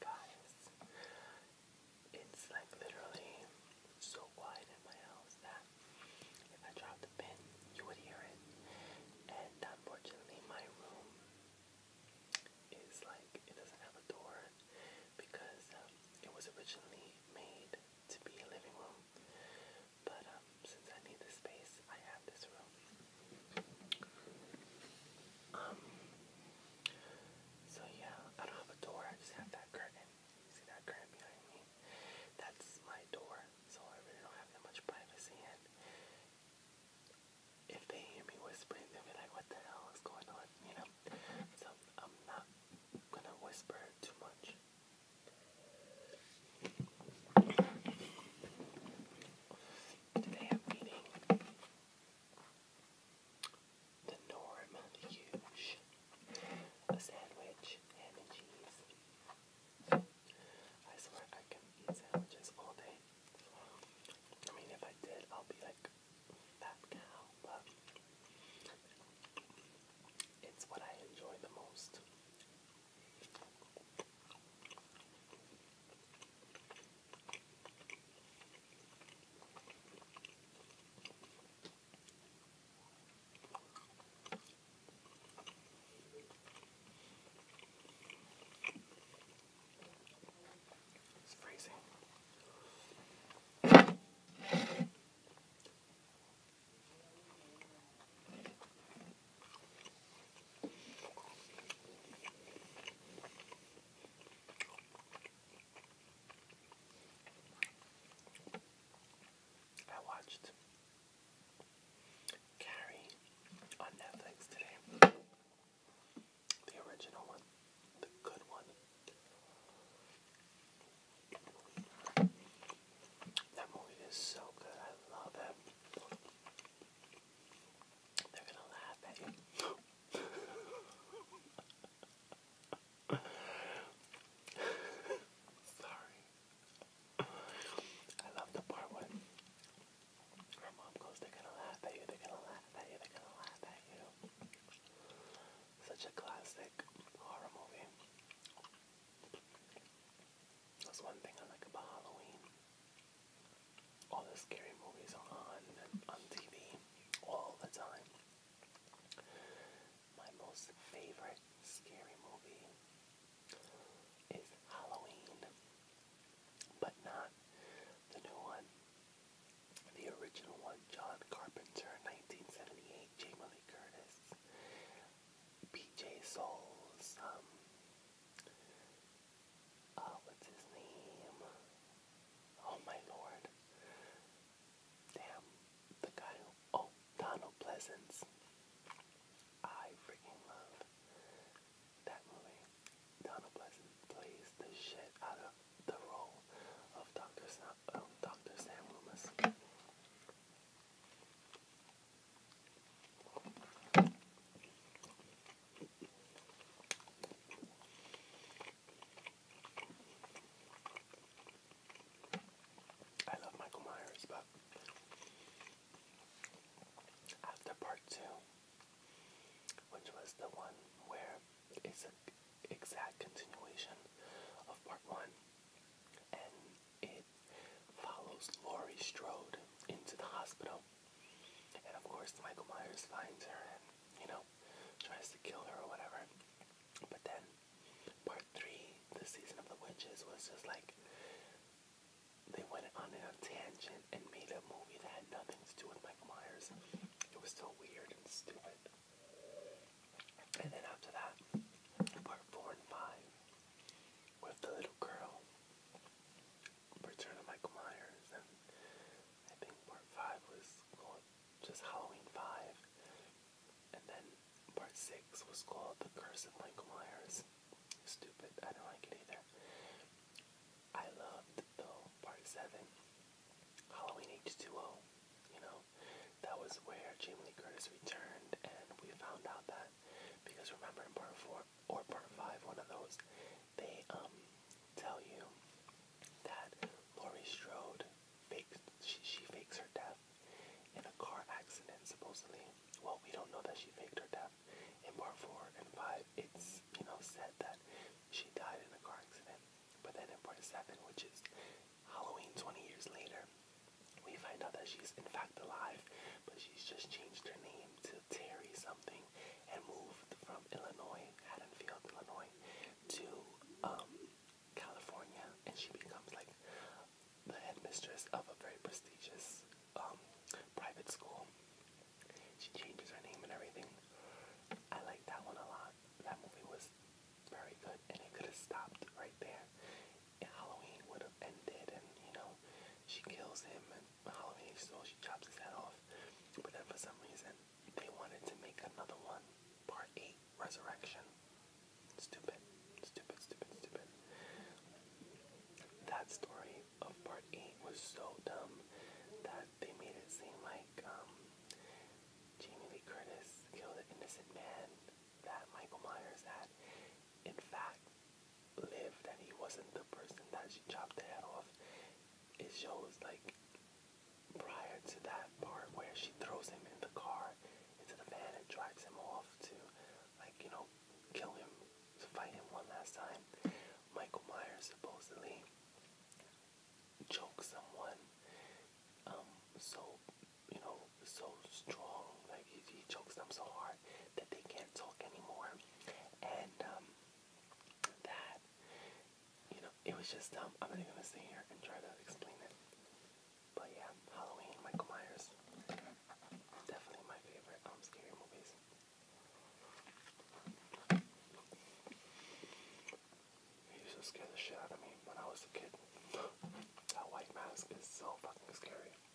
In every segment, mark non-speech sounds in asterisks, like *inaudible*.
Guys, it's like literally so quiet in my house that if I dropped a pin, you would hear it. And unfortunately, my room is like it doesn't have a door because um, it was originally made to be a living room. But um, since I need the space, I have this room. Um, so yeah, I don't have a door, I just have that curtain. See that curtain behind me? That's my door, so I really don't have that much privacy in. If they hear me whispering, they'll be like, what the hell is going on, you know? So I'm not gonna whisper too much. Today I'm reading The Norm Huge, a sandwich, ham and cheese. I swear I can eat sandwiches all day. I mean, if I did, I'll be like fat cow, but it's what I enjoy the most. It's freezing. I watched Carrie on Netflix today. The original one, the good one. That movie is so good. I love it. They're gonna laugh at you. Sorry. I love the part when her mom goes, they're gonna laugh at you, they're gonna laugh at you, they're gonna laugh at you. Such a classic horror movie. That's one thing I like about Halloween. All the scary movies on on TV all the time. My most favorite scary movie is Halloween, but not the new one. The original one, John Carpenter, 1978, Jamie Lee Curtis, P.J. Souls, um, uh, what's his name? Oh my lord. Damn. The guy Oh, Donald Pleasance. I freaking love that movie. Donald Pleasance plays the shit out of the role of Dr. Sam, oh, Dr. Sam Loomis. I love Michael Myers, but after part two, which was the one where it's an exact continuation of part one, and it follows Laurie Strode into the hospital. And of course, Michael Myers finds her and, you know, tries to kill her or whatever. But then, part three, the season of the witches, was just like they went on a tangent and made a movie that had nothing to do with Michael Myers. It was still weird and stupid. And then after that, part four and five with the little girl, Return of Michael Myers, and I think part five was called just Halloween five, and then part six was called The Curse of Michael Myers. Stupid, I don't like it either. I loved though part seven, Halloween H2O. You know, that was where Jamie Lee Curtis returned, and we found out that because remember in part four or part five, one of those, they um tell you that Laurie Strode fakes she, she fakes her death in a car accident supposedly. Well, we don't know that she faked her death. In part four and five, it's you know said that she died in a car accident. But then in part seven, which is Halloween 20 years later, we find out that she's in fact alive but she's just changed her name to Terry something and moved from Illinois, Haddonfield, Illinois, to um, California, and she becomes like the headmistress of a very prestigious um, private school. She changes her name and everything. I like that one a lot. That movie was very good, and it could have stopped right there. Halloween would have ended, and you know, she kills him, and Halloween, so she chops his head off. But then for some reason, they wanted to make another one, part 8 Resurrection. Stupid, stupid, stupid, stupid. That story of part 8 was so dumb that they made it seem like um, Jamie Lee Curtis killed an innocent man that Michael Myers had, in fact lived and he wasn't the person that she chopped the head off. It shows like prior to that part where she throws him in the car into the van and drives him off to like, you know, kill him, to fight him one last time. Michael Myers supposedly choked someone. Um, so, you know, so strong, like he, he chokes them so hard that they can't talk anymore. And um, that, you know, it was just dumb. I'm not even gonna sit here and try to explain it. But yeah, Halloween, Michael Myers, definitely my favorite um scary movies. He used to scare the shit out of me when I was a kid. that white mask is so fucking scary.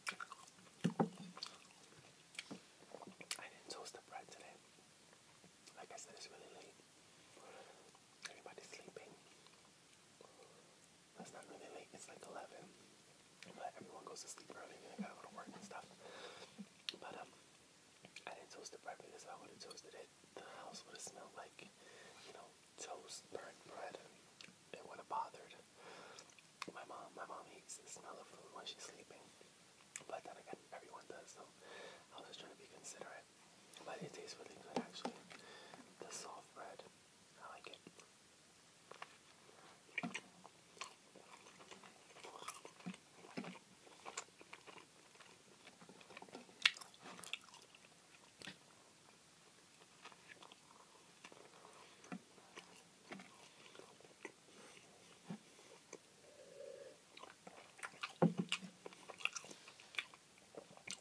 I didn't toast the bread today. Like I said, it's really late. Everybody's sleeping. That's not really late, it's like 11. But everyone goes to sleep early I gotta go work and stuff. But um, I didn't toast the bread because I would have toasted it, the house would have smelled like, you know, toast, burnt bread, and it would have bothered my mom, my mom hates the smell of food while she's sleeping, but then again, everyone does. So I was just trying to be considerate. But it tastes really good, actually. The soft bread, I like it.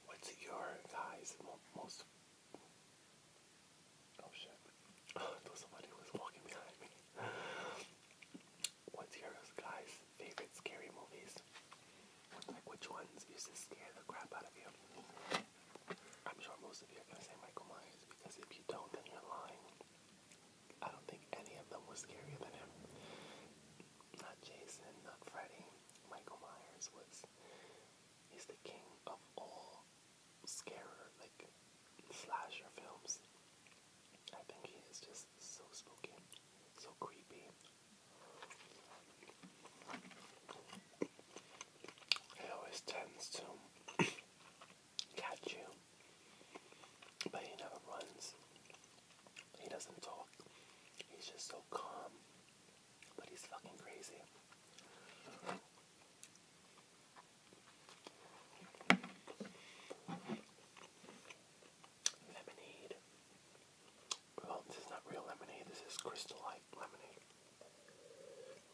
What's your guys' most? Oh shit! *laughs* Oh, somebody was walking behind me. What's your guys' favorite scary movies? Like which ones used to scare the crap out of you? I'm sure most of you are say Michael Myers because if you don't, then you're lying. I don't think any of them was scarier than him. Not Jason, not Freddy. Michael Myers was. He's the king of all scarer, like slasher films. I think he is just so spooky, so creepy. He always tends to catch you. But he never runs. He doesn't talk. He's just so calm. But he's fucking crazy. Lemonade. Well, this is not real lemonade. This is crystal lemonade.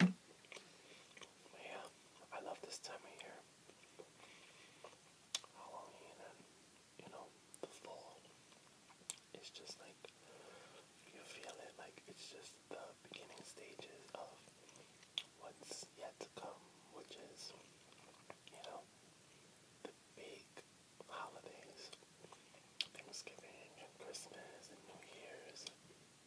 Yeah, I love this time of year. you know, the fall. It's just like, you feel it, like it's just the beginning stages of what's yet to come, which is, you know, the big holidays. Thanksgiving and Christmas and New Year's.